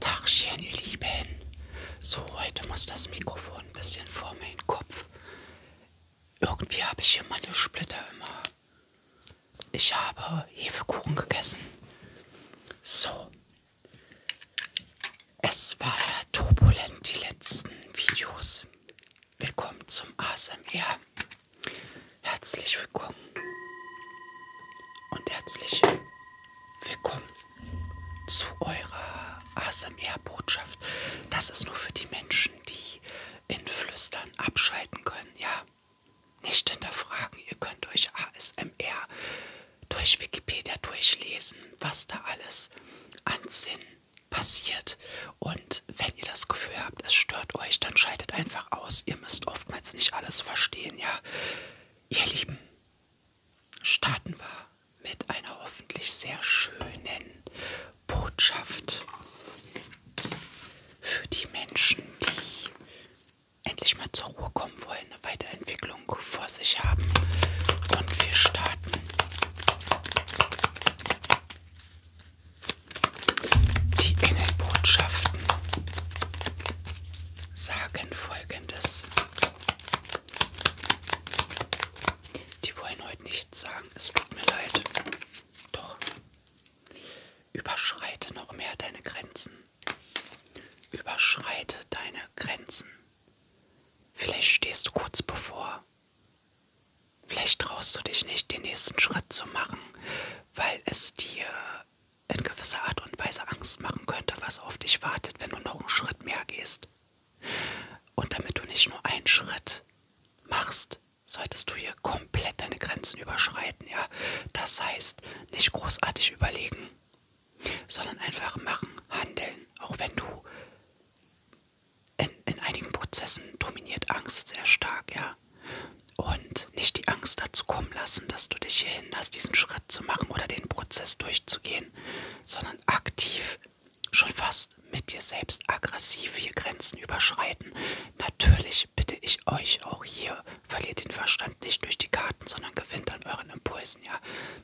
Tagchen, ihr Lieben. So, heute muss das Mikrofon ein bisschen vor meinen Kopf. Irgendwie habe ich hier meine Splitter immer. Ich habe Hefekuchen gegessen. So. Es war ja turbulent, die letzten Videos. Willkommen zum ASMR. Herzlich willkommen. Und herzlich Willkommen zu eurer ASMR-Botschaft. Das ist nur für die Menschen, die in Flüstern abschalten können, ja? Nicht hinterfragen, ihr könnt euch ASMR durch Wikipedia durchlesen, was da alles an Sinn passiert. Und wenn ihr das Gefühl habt, es stört euch, dann schaltet einfach aus. Ihr müsst oftmals nicht alles verstehen, ja? Ihr Lieben, starten wir mit einer hoffentlich sehr schönen Botschaft für die Menschen, die endlich mal zur Ruhe kommen wollen, eine Weiterentwicklung vor sich haben. Und wir starten die Engelbotschaften sagen folgendes. Die wollen heute nichts sagen, es tut mir leid. Doch überschreite noch mehr deine Grenzen. Überschreite deine Grenzen. Vielleicht stehst du kurz bevor. Vielleicht traust du dich nicht, den nächsten Schritt zu machen, weil es dir in gewisser Art und Weise Angst machen könnte, was auf dich wartet, wenn du noch einen Schritt mehr gehst. Und damit du nicht nur einen Schritt machst, solltest du hier komplett deine Grenzen überschreiten, ja. Das heißt, nicht großartig überlegen, sondern einfach machen, handeln, auch wenn du in, in einigen Prozessen dominiert Angst sehr stark, ja und nicht die Angst dazu kommen lassen, dass du dich hier hinderst, diesen Schritt zu machen oder den Prozess durchzugehen, sondern aktiv schon fast mit dir selbst aggressiv hier Grenzen überschreiten. Natürlich bitte ich euch auch hier, verliert den Verstand nicht durch die Karten, sondern gewinnt an euren Impulsen, ja.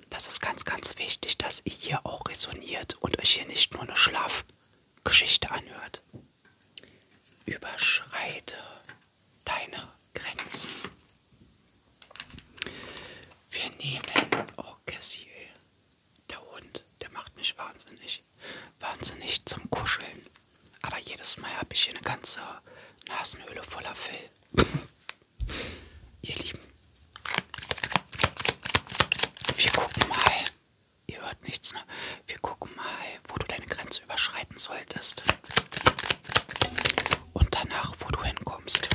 Das ist ganz, ganz wichtig, dass ihr hier auch resoniert und euch hier nicht nur eine Schlafgeschichte anhört. Überschreite deine Grenzen. Wir nehmen, oh Cassie, der Hund, der macht mich wahnsinnig, wahnsinnig zum Kuscheln. Aber jedes Mal habe ich hier eine ganze Nasenhöhle voller Fell. Ihr Lieben, wir gucken mal, ihr hört nichts, ne? Wir gucken mal, wo du deine Grenze überschreiten solltest und danach, wo du hinkommst.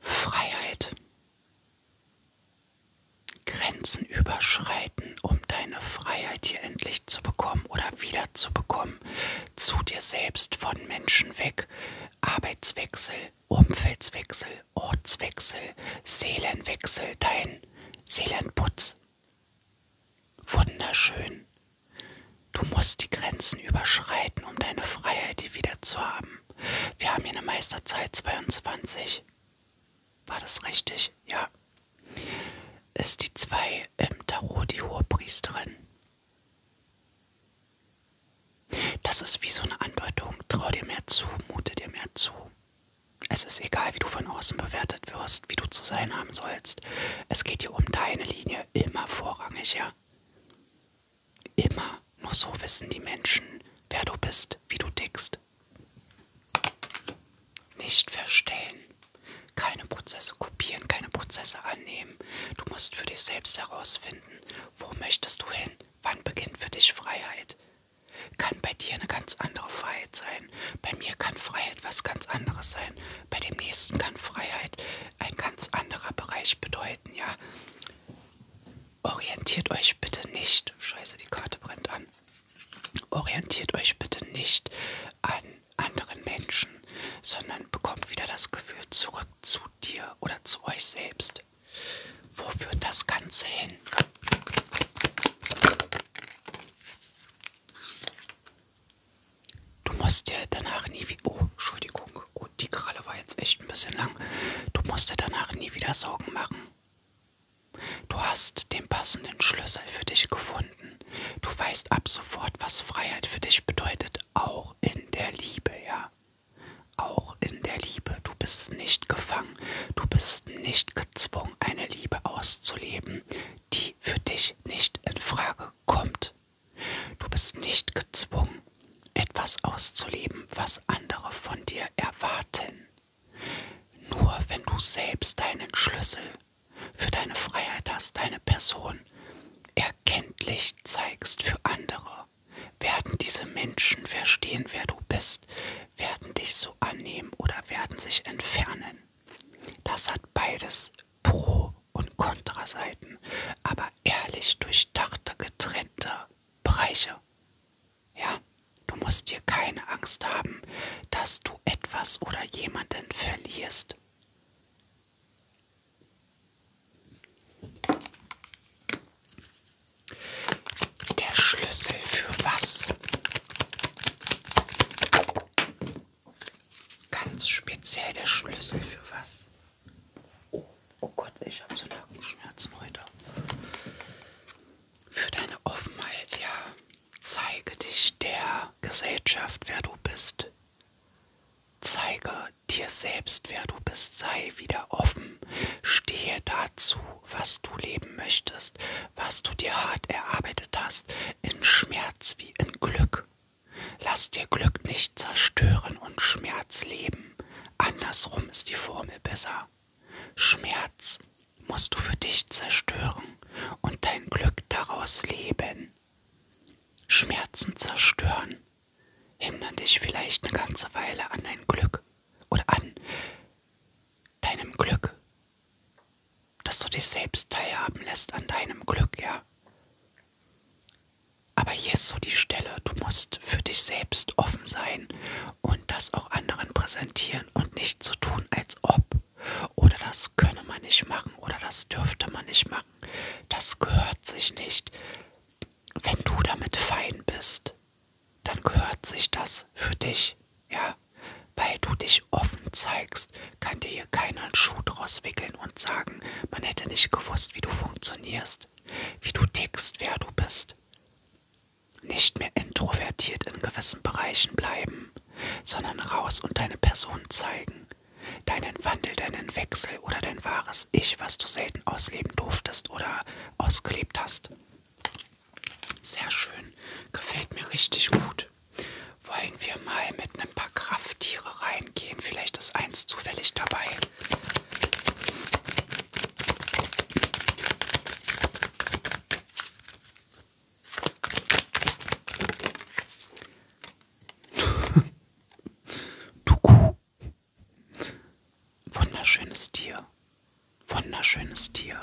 Freiheit. Grenzen überschreiten, um deine Freiheit hier endlich zu bekommen oder wieder zu bekommen. Zu dir selbst, von Menschen weg. Arbeitswechsel, Umfeldswechsel, Ortswechsel, Seelenwechsel, dein Seelenputz. Wunderschön. Du musst die Grenzen überschreiten, um deine Freiheit wieder zu haben. Wir haben hier eine Meisterzeit 22. War das richtig? Ja. Ist die 2 im Tarot die Hohepriesterin? Das ist wie so eine Andeutung. Trau dir mehr zu, mute dir mehr zu. Es ist egal, wie du von außen bewertet wirst, wie du zu sein haben sollst. Es geht hier um deine Linie immer vorrangig, ja? Immer. Nur so wissen die Menschen, wer du bist, wie du tickst. Nicht verstehen. Keine Prozesse kopieren, keine Prozesse annehmen. Du musst für dich selbst herausfinden, wo möchtest du hin, wann beginnt für dich Freiheit, kann bei dir eine ganz andere Freiheit sein. Bei mir kann Freiheit was ganz anderes sein. Bei dem nächsten kann Freiheit ein ganz anderer Bereich bedeuten, ja. Orientiert euch bitte nicht. Scheiße, die Karte brennt an. Orientiert euch bitte nicht an anderen Menschen, sondern bekommt wieder das Gefühl zurück zu dir oder zu euch selbst. Wo führt das Ganze hin? Du musst dir danach nie wieder... Oh, Entschuldigung. Gut, die Kralle war jetzt echt ein bisschen lang. Du musst dir danach nie wieder Sorgen machen. Du hast den passenden Schlüssel für dich gefunden. Du weißt ab sofort, was Freiheit für dich bedeutet, auch in der Liebe, ja. Auch in der Liebe, du bist nicht gefangen, du bist nicht gezwungen, eine Liebe auszuleben, die für dich nicht in Frage kommt. Du bist nicht gezwungen, etwas auszuleben, was andere von dir erwarten. Nur wenn du selbst deinen Schlüssel für deine Freiheit hast, deine Person erkenntlich zeigst für andere werden diese Menschen verstehen, wer du bist? Werden dich so annehmen oder werden sich entfernen? Das hat beides Pro- und Kontraseiten, aber ehrlich durchdachte, getrennte Bereiche. Ja, du musst dir keine Angst haben, dass du etwas oder jemanden verlierst. Der Schlüssel für was? Ganz speziell der Schlüssel für was? Oh, oh Gott, ich habe so Nackenschmerzen heute. Für deine Offenheit, ja. Zeige dich der Gesellschaft, wer du bist. Zeige dir selbst, wer du bist. Sei wieder offen. Stehe dazu, was du leben möchtest, was du dir hart erarbeitet hast, in Schmerz wie in Glück. Lass dir Glück nicht zerstören und Schmerz leben. Andersrum ist die Formel besser. Schmerz musst du für dich zerstören und dein Glück daraus leben. Schmerzen zerstören hindern dich vielleicht eine ganze Weile an dein Glück oder an deinem Glück, dass du dich selbst teilhaben lässt an deinem Glück, ja. Aber hier ist so die Stelle, du musst für dich selbst offen sein und das auch anderen präsentieren und nicht so tun, als ob. Oder das könne man nicht machen oder das dürfte man nicht machen. Das gehört sich nicht. Wenn du damit fein bist, dann gehört sich das für dich, ja. Weil du dich offen zeigst, kann dir hier keiner einen Schuh draus wickeln und sagen, man hätte nicht gewusst, wie du funktionierst, wie du tickst, wer du bist. Nicht mehr introvertiert in gewissen Bereichen bleiben, sondern raus und deine Person zeigen, deinen Wandel, deinen Wechsel oder dein wahres das Ich, was du selten ausleben durftest oder ausgelebt hast. Sehr schön, gefällt mir richtig gut. Wollen wir mal mit ein paar Krafttiere reingehen? Vielleicht ist eins zufällig dabei. Tuku. Wunderschönes Tier, wunderschönes Tier,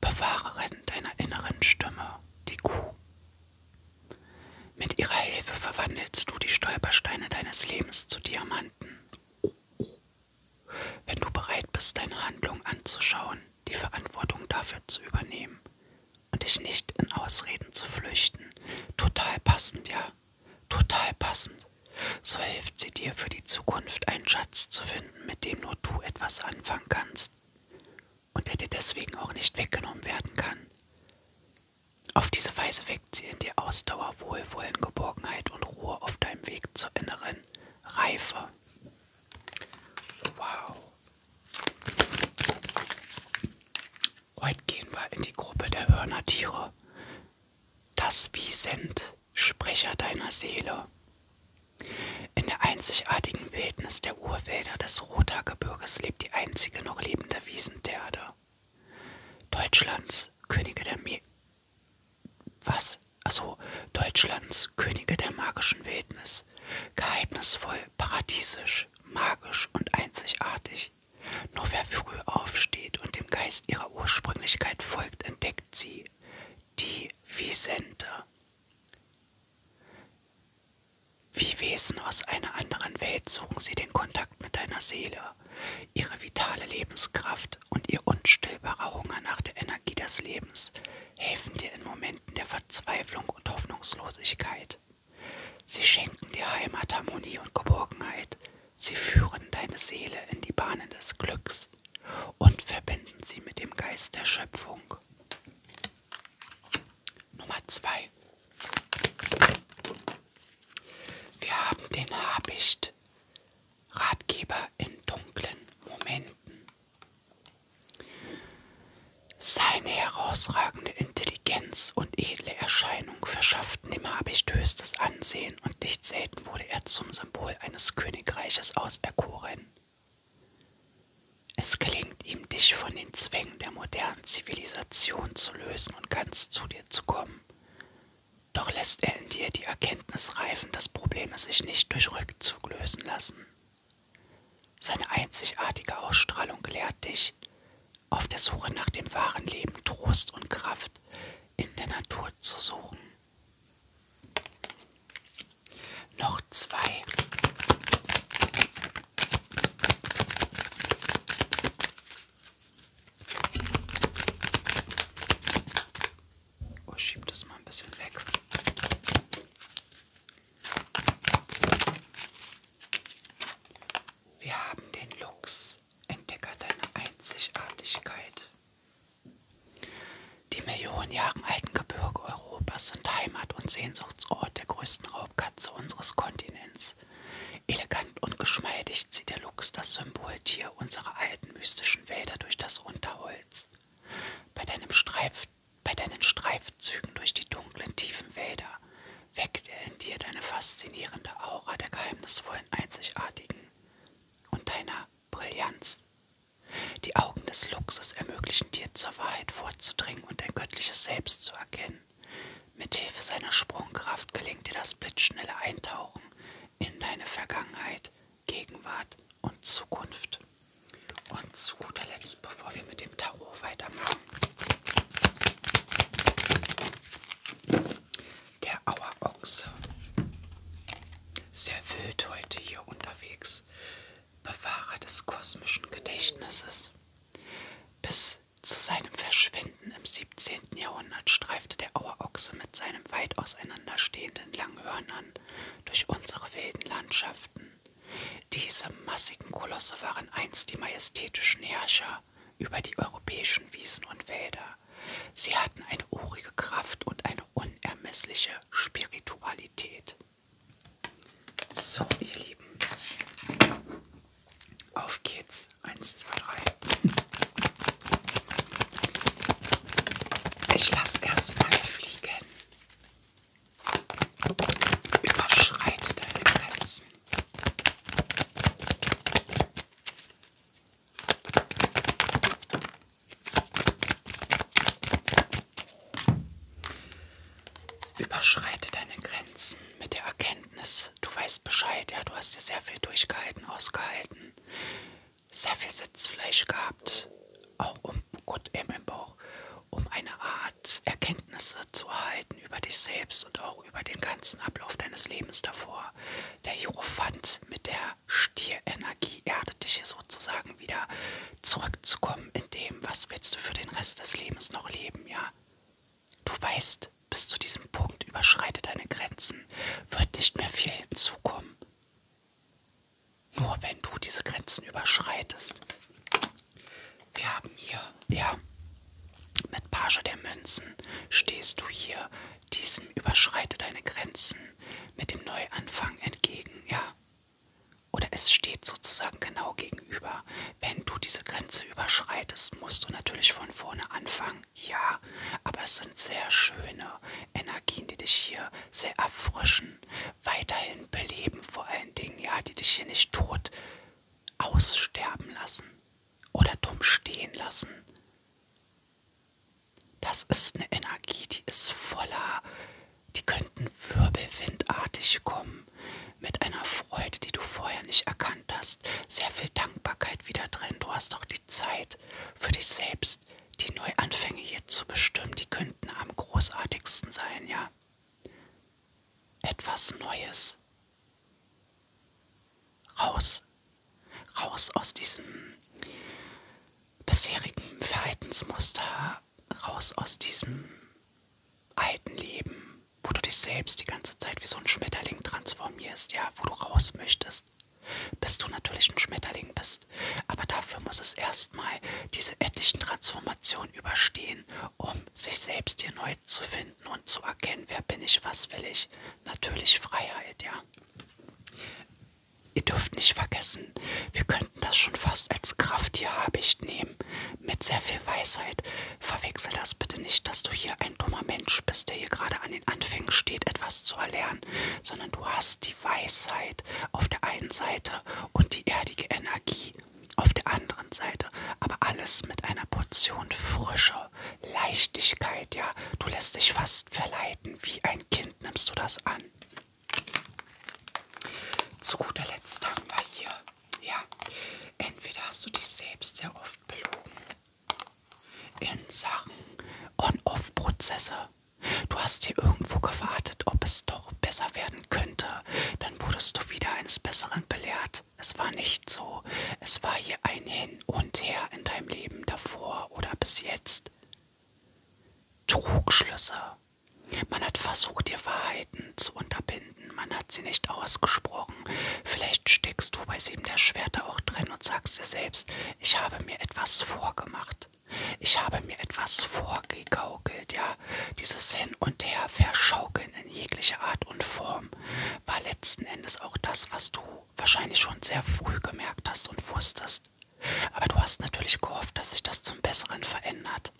Bewahrerin deiner inneren Stimme, die Kuh. Mit ihrer Hilfe verwandelst du die Stolpersteine deines Lebens zu Diamanten. Wenn du bereit bist, deine Handlung anzuschauen, die Verantwortung dafür zu übernehmen und dich nicht in Ausreden zu flüchten, total passend, ja. Total passend. So hilft sie dir für die Zukunft einen Schatz zu finden, mit dem nur du etwas anfangen kannst und der dir deswegen auch nicht weggenommen werden kann. Auf diese Weise weckt sie in dir Ausdauer, Wohlwollen, Geborgenheit und Ruhe auf deinem Weg zur inneren Reife. Wow. Heute gehen wir in die Gruppe der Hörnertiere das Wie sind, Sprecher deiner Seele. In der einzigartigen Wildnis der Urwälder des Rothaargebirges lebt die einzige noch lebende Wiesenterde. Deutschlands Könige der Me Was? Achso, Deutschlands Könige der magischen Wildnis. Geheimnisvoll, paradiesisch, magisch und einzigartig. Nur wer früh aufsteht und dem Geist ihrer Ursprünglichkeit folgt, entdeckt sie, die Visente. Wie Wesen aus einer anderen Welt suchen sie den Kontakt mit deiner Seele, ihre vitale Lebenskraft und ihr unstillbarer Hunger nach der Energie des Lebens helfen dir in Momenten der Verzweiflung und Hoffnungslosigkeit. Sie schenken dir Heimat, Harmonie und Geborgenheit, Sie führen deine Seele in die Bahnen des Glücks und verbinden sie mit dem Geist der Schöpfung. Nummer 2. Wir haben den Habicht, Ratgeber in dunklen Momenten. Seine herausragende Intelligenz und edle Erscheinung verschaffen schafften dem Habicht höchstes Ansehen und nicht selten wurde er zum Symbol eines Königreiches auserkoren. Es gelingt ihm, dich von den Zwängen der modernen Zivilisation zu lösen und ganz zu dir zu kommen. Doch lässt er in dir die Erkenntnis reifen, dass Probleme sich nicht durch Rückzug lösen lassen. Seine einzigartige Ausstrahlung lehrt dich, auf der Suche nach dem wahren Leben Trost und Kraft in der Natur zu suchen. Noch zwei. Oh, schieb das mal ein bisschen weg. Wir haben den Luchs Entdecke deine Einzigartigkeit. Die Millionen Jahre alten Gebirge Europas sind Heimat und Sehnsuchtsort der größten Raubkatze unseres Kontinents. Elegant und geschmeidig zieht der Luchs das Symboltier unserer alten mystischen Wälder durch das Unterholz. Bei, deinem Streif, bei deinen Streifzügen durch die dunklen, tiefen Wälder weckte in dir deine faszinierende Aura der geheimnisvollen Einzigartigen und deiner Brillanz. Die Augen des Luchses ermöglichen dir, zur Wahrheit vorzudringen und dein göttliches Selbst zu erkennen. Mithilfe seiner Sprungkraft gelingt dir das blitzschnelle Eintauchen in deine Vergangenheit, Gegenwart und Zukunft. Und zu guter Letzt, bevor wir mit dem Tarot weitermachen, der Auerochse. Sehr wild heute hier unterwegs. Bewahrer des kosmischen Gedächtnisses. Bis zu seinem Verschwinden im 17. Jahrhundert streifte der Auerochse mit seinen weit auseinanderstehenden Langhörnern durch unsere wilden Landschaften. Diese massigen Kolosse waren einst die majestätischen Herrscher über die europäischen Wiesen und Wälder. Sie hatten eine urige Kraft und eine unermessliche Spiritualität. So, ihr Lieben. Auf geht's. Eins, zwei, drei. Ich lasse erstmal fliegen. Überschreite deine Grenzen. Überschreite deine Grenzen mit der Erkenntnis, du weißt Bescheid, ja, du hast dir sehr viel durchgehalten, ausgehalten, sehr viel Sitzfleisch gehabt, auch um, oh gut, eben im Bauch, um eine Art Erkenntnisse zu erhalten über dich selbst und auch auch über den ganzen Ablauf deines Lebens davor. Der Hierophant mit der Stierenergie erdet dich hier sozusagen wieder zurückzukommen in dem, was willst du für den Rest des Lebens noch leben, ja? Du weißt, bis zu diesem Punkt überschreite deine Grenzen, wird nicht mehr viel hinzukommen. Nur wenn du diese Grenzen überschreitest. Wir haben hier, ja, mit Page der Münzen stehst du hier, diesem überschreite deine Grenzen mit dem Neuanfang entgegen, ja. Oder es steht sozusagen genau gegenüber. Wenn du diese Grenze überschreitest, musst du natürlich von vorne anfangen, ja. Aber es sind sehr schöne Energien, die dich hier sehr erfrischen, weiterhin beleben vor allen Dingen, ja, die dich hier nicht tot aussterben lassen oder dumm stehen lassen. Das ist eine Energie, die ist voller, die könnten wirbelwindartig kommen, mit einer Freude, die du vorher nicht erkannt hast, sehr viel Dankbarkeit wieder drin. Du hast auch die Zeit für dich selbst, die Neuanfänge hier zu bestimmen, die könnten am großartigsten sein, ja. Etwas Neues, Raus. Raus aus diesem bisherigen Verhaltensmuster. Raus aus diesem alten Leben, wo du dich selbst die ganze Zeit wie so ein Schmetterling transformierst, ja, wo du raus möchtest bis du natürlich ein Schmetterling bist. Aber dafür muss es erstmal diese etlichen Transformationen überstehen, um sich selbst hier neu Freiheit zu finden und zu erkennen, wer bin ich, was will ich. Natürlich Freiheit, ja. Ihr dürft nicht vergessen, wir könnten das schon fast als Krafttier Habicht nehmen, mit sehr viel Weisheit. Verwechsel das bitte nicht, dass du hier ein dummer Mensch bist, der hier gerade an den Anfängen steht, etwas zu erlernen, sondern du hast die Weisheit auf der einen Seite und die erdige Energie auf der anderen Seite, aber alles mit einer Portion Frische Leichtigkeit, ja. Du lässt dich fast verleiten. Wie ein Kind nimmst du das an. Zu guter Letzt haben wir hier, ja, entweder hast du dich selbst sehr oft belogen in Sachen On-Off-Prozesse. Du hast hier irgendwo gewartet, ob es doch besser werden könnte. Dann wurdest du wieder eines Besseren belehrt hat. Es war nicht so. Es war hier ein Hin und Her in deinem Leben davor oder bis jetzt. Trugschlüsse. Man hat versucht, dir Wahrheiten zu unterbinden. Man hat sie nicht ausgesprochen. Vielleicht steckst du bei sieben der Schwerter auch drin und sagst dir selbst, ich habe mir etwas vorgemacht. Ich habe mir etwas vorgegaukelt, ja. Dieses Hin und Her verschaukelt Schauspielerin in jeglicher Art und Form war letzten Endes auch das, was du wahrscheinlich schon sehr früh gemerkt hast und wusstest. Aber du hast natürlich gehofft, dass sich das zum Besseren verändert.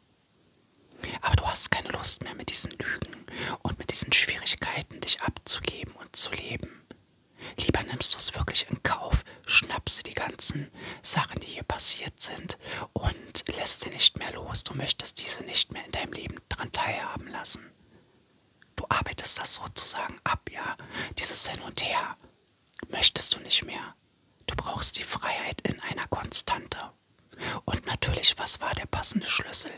Aber du hast keine Lust mehr, mit diesen Lügen und mit diesen Schwierigkeiten dich abzugeben und zu leben. Lieber nimmst du es wirklich in Kauf, schnappst dir die ganzen Sachen, die hier passiert sind, und lässt sie nicht mehr los. Du möchtest diese nicht mehr in deinem Leben dran teilhaben lassen machen. Du arbeitest das sozusagen ab, ja? Dieses Hin und Her möchtest du nicht mehr. Du brauchst die Freiheit in einer Konstante. Und natürlich, was war der passende Schlüssel?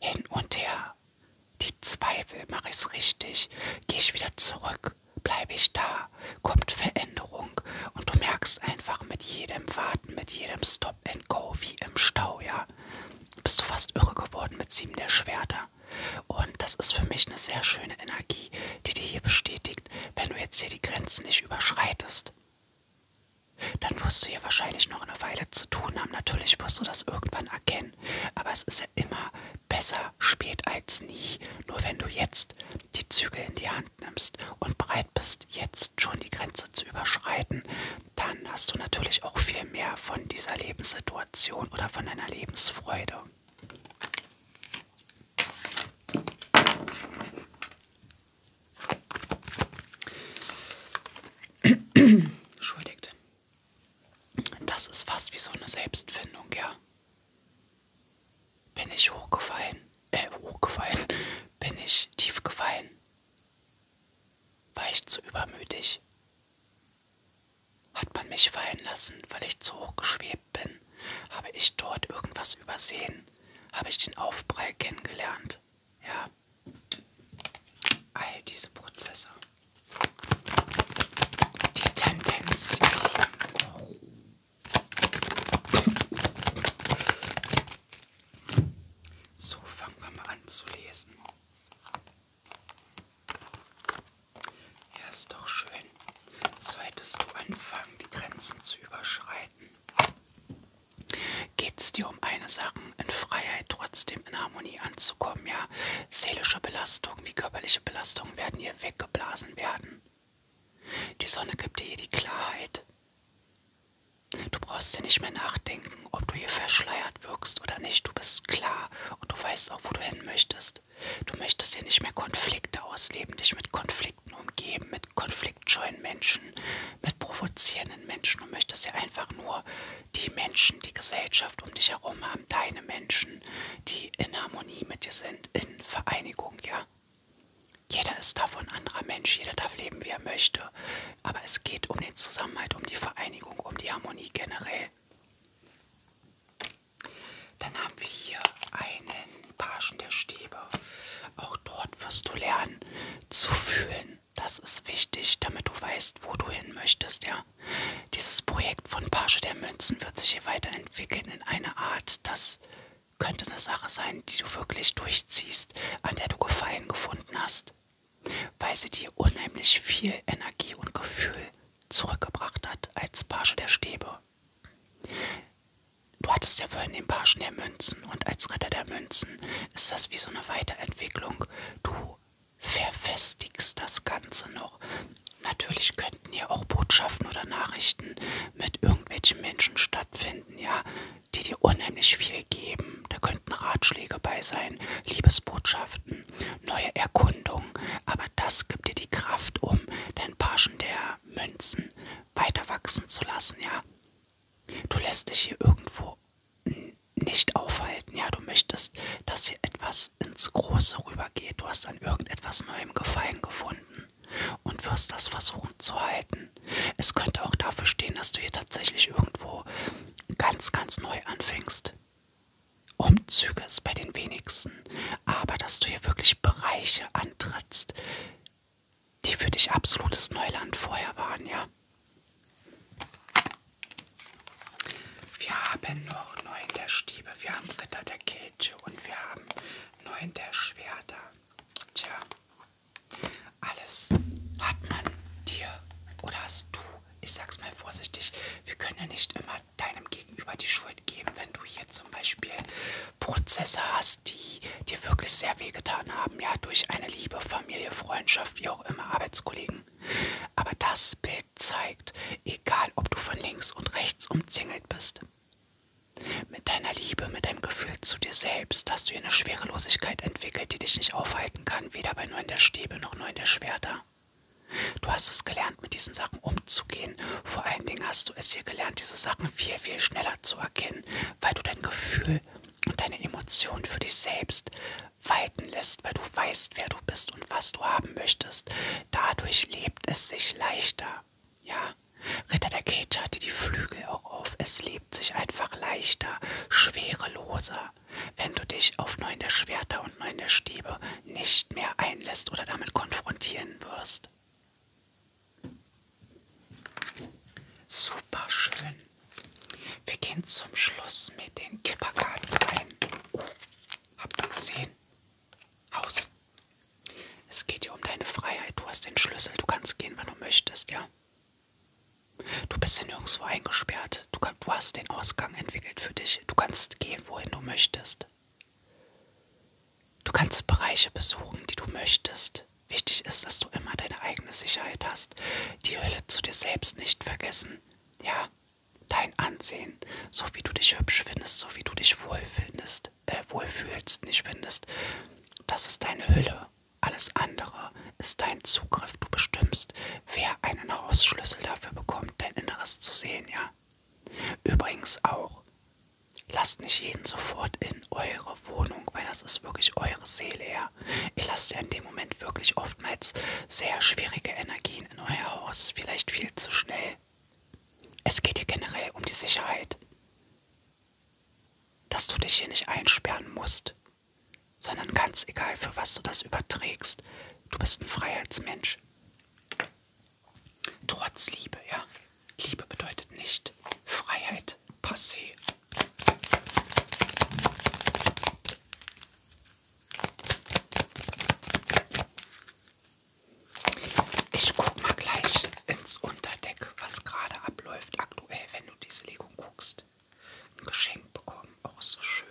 Hin und her. Die Zweifel, mache ich's richtig? Gehe ich wieder zurück? Bleibe ich da? Kommt Veränderung? Und du merkst einfach mit jedem Warten, mit jedem Stop and Go wie im Stau, ja. Bist du fast irre geworden mit sieben der Schwerter. Und das ist für mich eine sehr schöne Energie, die dir hier bestätigt, wenn du jetzt hier die Grenzen nicht überschreitest. Dann wirst du hier wahrscheinlich noch eine Weile zu tun haben. Natürlich wirst du das irgendwann erkennen. Aber es ist ja immer besser spät als nie. Nur wenn du jetzt die Zügel in die Hand Hand nimmst und bereit bist, jetzt schon die Grenze zu überschreiten, dann hast du natürlich auch viel mehr von dieser Lebenssituation oder von deiner Lebensfreude. Entschuldigt. Das ist fast wie so eine Selbstfindung, ja. Bin ich hochgefallen? Äh, hochgefallen. Bin ich tief gefallen? War ich zu übermütig? Hat man mich fallen lassen, weil ich zu hoch geschwebt bin? Habe ich dort irgendwas übersehen? Habe ich den Aufprall kennengelernt? Ja. All diese Prozesse. Die Tendenz. So, fangen wir mal an zu lesen. Ja, ist doch schön. Solltest du anfangen, die Grenzen zu überschreiten, geht es dir um eine Sache, in Freiheit trotzdem in Harmonie anzukommen, ja? Seelische Belastungen, die körperliche Belastungen werden hier weggeblasen werden. Die Sonne gibt dir hier die Klarheit. Du brauchst dir nicht mehr nachdenken, ob du hier verschleiert wirkst oder nicht. Du bist klar und du weißt auch, wo du hin möchtest. Du möchtest hier nicht mehr Konflikte ausleben, dich mit Konflikten umgeben, mit konfliktscheuen Menschen, mit provozierenden Menschen. Du möchtest hier einfach nur die Menschen, die Gesellschaft um dich herum haben, deine Menschen, die in Harmonie mit dir sind, in Vereinigung, ja. Jeder ist davon anderer Mensch, jeder darf leben, wie er möchte. Aber es geht um den Zusammenhalt, um die Vereinigung, um die Harmonie generell. Dann haben wir hier einen Pagen der Stäbe. Auch dort wirst du lernen zu fühlen. Das ist wichtig, damit du weißt, wo du hin möchtest. Ja? Dieses Projekt von Page der Münzen wird sich hier weiterentwickeln in eine Art, dass könnte eine Sache sein, die du wirklich durchziehst, an der du Gefallen gefunden hast, weil sie dir unheimlich viel Energie und Gefühl zurückgebracht hat als Page der Stäbe. Du hattest ja vorhin den Pagen der Münzen und als Ritter der Münzen ist das wie so eine Weiterentwicklung. Du verfestigst das Ganze noch. Natürlich könnten ja auch Botschaften oder Nachrichten mit irgendwelchen Menschen stattfinden, ja die dir unheimlich viel geben. Da könnten Ratschläge bei sein, Liebesbotschaften, neue Erkundungen. Aber das gibt dir die Kraft, um dein Paschen der Münzen weiter wachsen zu lassen, ja. Du lässt dich hier irgendwo nicht aufhalten, ja. Du möchtest, dass hier etwas ins Große rübergeht. Du hast an irgendetwas Neuem Gefallen gefunden und wirst das versuchen zu halten. Es könnte auch dafür stehen, dass du hier tatsächlich irgendwo ganz, ganz neu anfängst. Umzüge ist bei den wenigsten, aber dass du hier wirklich Bereiche antrittst, die für dich absolutes Neuland vorher waren, ja. Wir haben noch neun der Stiebe, wir haben Ritter der Kelche und wir haben neun der Schwerter. Tja, alles hat man dir oder hast du, ich sag's mal vorsichtig, wir können ja nicht immer deinem Gegenüber die Schuld geben, wenn du hier zum Beispiel Prozesse hast, die dir wirklich sehr wehgetan haben, ja, durch eine Liebe, Familie, Freundschaft, wie auch immer, Arbeitskollegen. Aber das Bild zeigt, egal ob du von links und rechts umzingelt bist, mit deiner Liebe, mit deinem Gefühl zu dir selbst hast du hier eine Schwerelosigkeit entwickelt, die dich nicht aufhalten kann, weder bei Neun der Stäbe noch Neun der Schwerter. Du hast es gelernt, mit diesen Sachen umzugehen. Vor allen Dingen hast du es hier gelernt, diese Sachen viel, viel schneller zu erkennen, weil du dein Gefühl und deine Emotionen für dich selbst walten lässt, weil du weißt, wer du bist und was du haben möchtest. Dadurch lebt es sich leichter. Ja, Ritter der Cage hatte die Flügel auch auf. Es lebt sich einfach leichter, schwereloser, wenn du dich auf neun der Schwerter und neun der Stäbe nicht mehr einlässt oder damit konfrontieren wirst. Super schön. Wir gehen zum Schluss mit den Kipperkarten rein. Oh, habt ihr gesehen? Haus. Es geht hier um deine Freiheit. Du hast den Schlüssel. Du kannst gehen, wann du möchtest, ja? Du bist hier nirgendwo eingesperrt. Du, kann, du hast den Ausgang entwickelt für dich. Du kannst gehen, wohin du möchtest. Du kannst Bereiche besuchen, die du möchtest. Wichtig ist, dass du immer deine eigene Sicherheit hast. Die Hölle zu dir selbst nicht vergessen. Ja, dein Ansehen, so wie du dich hübsch findest, so wie du dich wohl findest nicht äh, wohlfühlst, nicht findest, das ist deine Hülle. Alles andere ist dein Zugriff. Du bestimmst, wer einen Hausschlüssel dafür bekommt, dein Inneres zu sehen, ja. Übrigens auch, lasst nicht jeden sofort in eure Wohnung, weil das ist wirklich eure Seele, ja. Ihr lasst ja in dem Moment wirklich oftmals sehr schwierige Energien in euer Haus, vielleicht viel zu schnell. Es geht hier generell um die Sicherheit dass du dich hier nicht einsperren musst, sondern ganz egal, für was du das überträgst, du bist ein Freiheitsmensch. Trotz Liebe, ja. Liebe bedeutet nicht Freiheit passé. Ich guck mal gleich, ins Unterdeck, was gerade abläuft aktuell, wenn du diese Legung guckst. Ein Geschenk bekommen, auch so schön.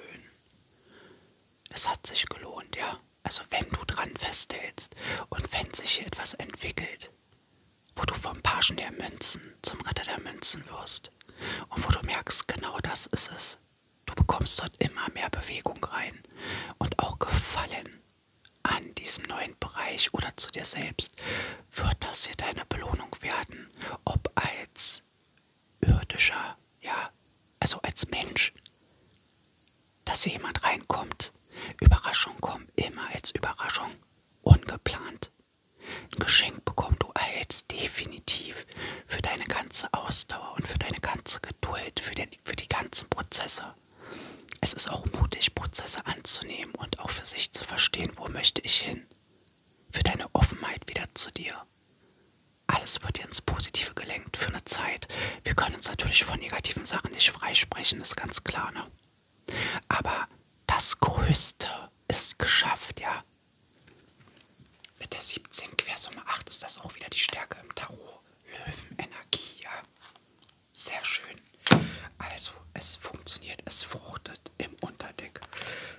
Es hat sich gelohnt, ja. Also wenn du dran festhältst und wenn sich hier etwas entwickelt, wo du vom Pagen der Münzen zum Ritter der Münzen wirst und wo du merkst, genau das ist es. Du bekommst dort immer mehr Bewegung rein und auch Gefallen an diesem neuen Bereich oder zu dir selbst, wird das hier deine Belohnung werden. Ob als irdischer, ja, also als Mensch, dass hier jemand reinkommt. Überraschungen kommen immer als Überraschung, ungeplant. Ein Geschenk bekommst du erhältst definitiv für deine ganze Ausdauer und für deine ganze Geduld, für, den, für die ganzen Prozesse. Es ist auch mutig, Prozesse anzunehmen und auch für sich zu verstehen, wo möchte ich hin. Für deine Offenheit wieder zu dir. Alles wird dir ins Positive gelenkt für eine Zeit. Wir können uns natürlich von negativen Sachen nicht freisprechen, ist ganz klar, ne? Aber das Größte ist geschafft, ja. Mit der 17 Quersumme 8 ist das auch wieder die Stärke im Tarot. Löwenenergie, ja. Sehr schön. Also, es funktioniert, es fruchtet im Unterdeck.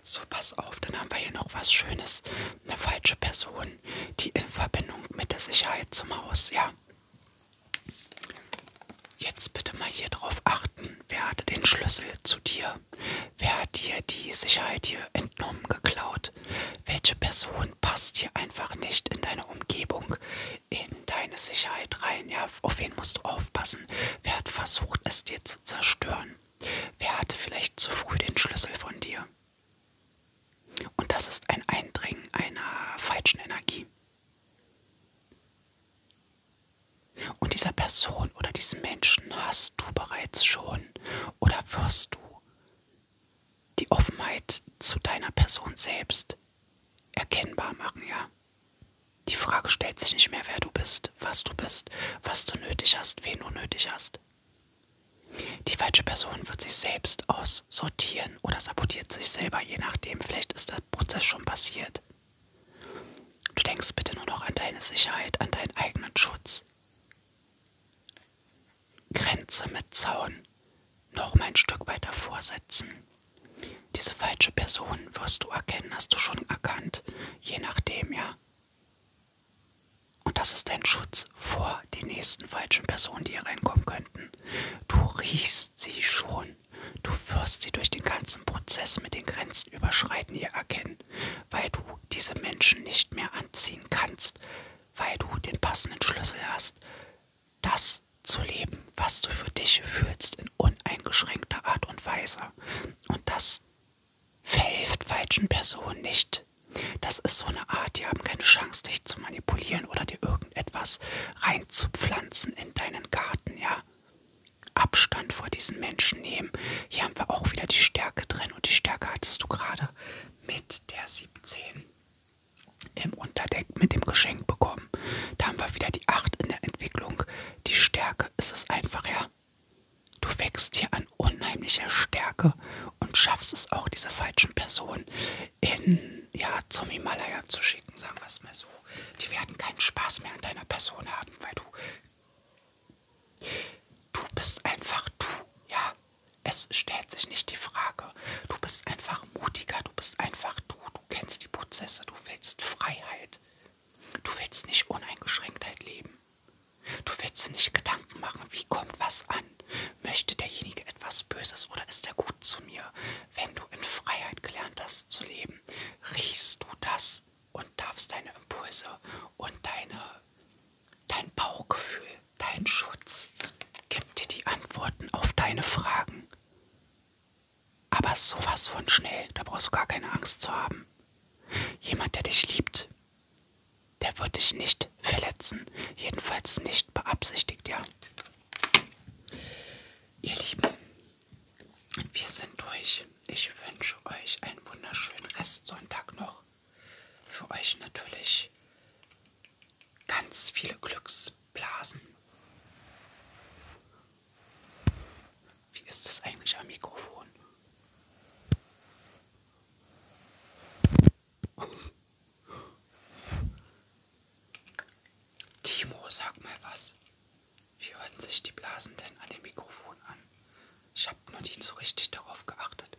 So, pass auf, dann haben wir hier noch was Schönes. Eine falsche Person, die in Verbindung mit der Sicherheit zum Haus, ja. Jetzt bitte mal hier drauf achten. Wer hatte den Schlüssel zu dir? Wer hat dir die Sicherheit hier entnommen, geklaut? Welche Person passt hier einfach nicht in deine Umgebung, in deine Sicherheit rein? Ja, auf wen musst du aufpassen? Wer hat versucht, es dir zu zerstören? Wer hatte vielleicht zu früh den Schlüssel von dir? Und das ist ein Eindringen einer falschen Energie. Und dieser Person oder diesen Menschen hast du bereits schon oder wirst du die Offenheit zu deiner Person selbst erkennbar machen, ja. Die Frage stellt sich nicht mehr, wer du bist, was du bist, was du nötig hast, wen du nötig hast. Die falsche Person wird sich selbst aussortieren oder sabotiert sich selber, je nachdem. Vielleicht ist der Prozess schon passiert. Du denkst bitte nur noch an deine Sicherheit, an deinen eigenen Schutz. Grenze mit Zaun noch mal ein Stück weiter vorsetzen. Diese falsche Person wirst du erkennen, hast du schon erkannt, je nachdem, ja. Und das ist dein Schutz vor den nächsten falschen Personen, die hier reinkommen könnten. Du riechst sie schon. Du wirst sie durch den ganzen Prozess mit den Grenzen überschreiten hier erkennen, weil du diese Menschen nicht mehr anziehen kannst, weil du den passenden Schlüssel hast, das zu leben, was du für dich fühlst, in uneingeschränkter Art und Weise. Und das verhilft falschen Personen nicht. Das ist so eine Art, die haben keine Chance, dich zu manipulieren oder dir irgendetwas reinzupflanzen in deinen Garten, ja. Abstand vor diesen Menschen nehmen. Hier haben wir auch wieder die Stärke drin und die Stärke hattest du gerade mit der 17 im Unterdeck mit dem Geschenk bekommen. Da haben wir wieder die 8 in der Entwicklung. Die Stärke ist es einfach, ja. Du wächst hier an unheimlicher Stärke und schaffst es auch, diese falschen Personen in, ja, zum Himalaya zu schicken, sagen wir es mal so. Die werden keinen Spaß mehr an deiner Person haben, weil du. Du bist einfach du, ja. Es stellt sich nicht die Frage. Du bist einfach mutiger, du bist einfach du, du kennst die Prozesse, du willst Freiheit. Du willst nicht Uneingeschränktheit leben. Du willst nicht Gedanken machen, wie kommt was an? Möchte derjenige etwas Böses oder ist er gut zu mir? Wenn du in Freiheit gelernt hast zu leben, riechst du das und darfst deine Impulse und deine, dein Bauchgefühl, dein Schutz, gibt dir die Antworten auf deine Fragen. Aber sowas von schnell, da brauchst du gar keine Angst zu haben. Jemand, der dich liebt, der wird dich nicht verletzen. Jedenfalls nicht beabsichtigt, ja. Ihr Lieben, wir sind durch. Ich wünsche euch einen wunderschönen Restsonntag noch. Für euch natürlich ganz viele Glücksblasen. Wie ist das eigentlich am Mikrofon? Timo, sag mal was. Wie hören sich die Blasen denn an dem Mikrofon an? Ich habe noch nicht so richtig darauf geachtet.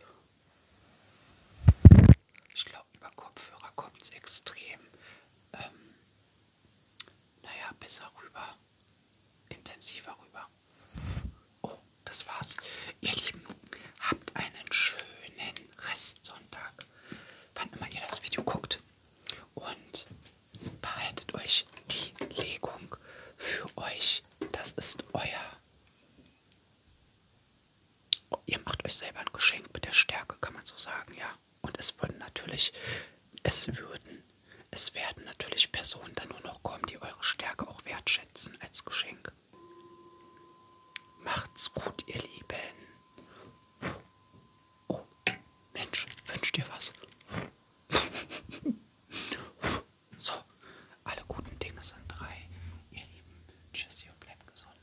Ich glaube, über Kopfhörer kommt es extrem, ähm, naja, besser rüber, intensiver rüber. Oh, das war's. Ihr Lieben, habt einen schönen Restsonntag, wann immer ihr das Video guckt. Und behaltet euch die Legung für euch. Das ist euer Oh, ihr macht euch selber ein Geschenk mit der Stärke, kann man so sagen, ja. Und es würden natürlich, es würden, es werden natürlich Personen dann nur noch kommen, die eure Stärke auch wertschätzen als Geschenk. Macht's gut, ihr Lieben. Oh, Mensch, wünscht ihr was? so, alle guten Dinge sind drei. Ihr Lieben, tschüss und bleibt gesund.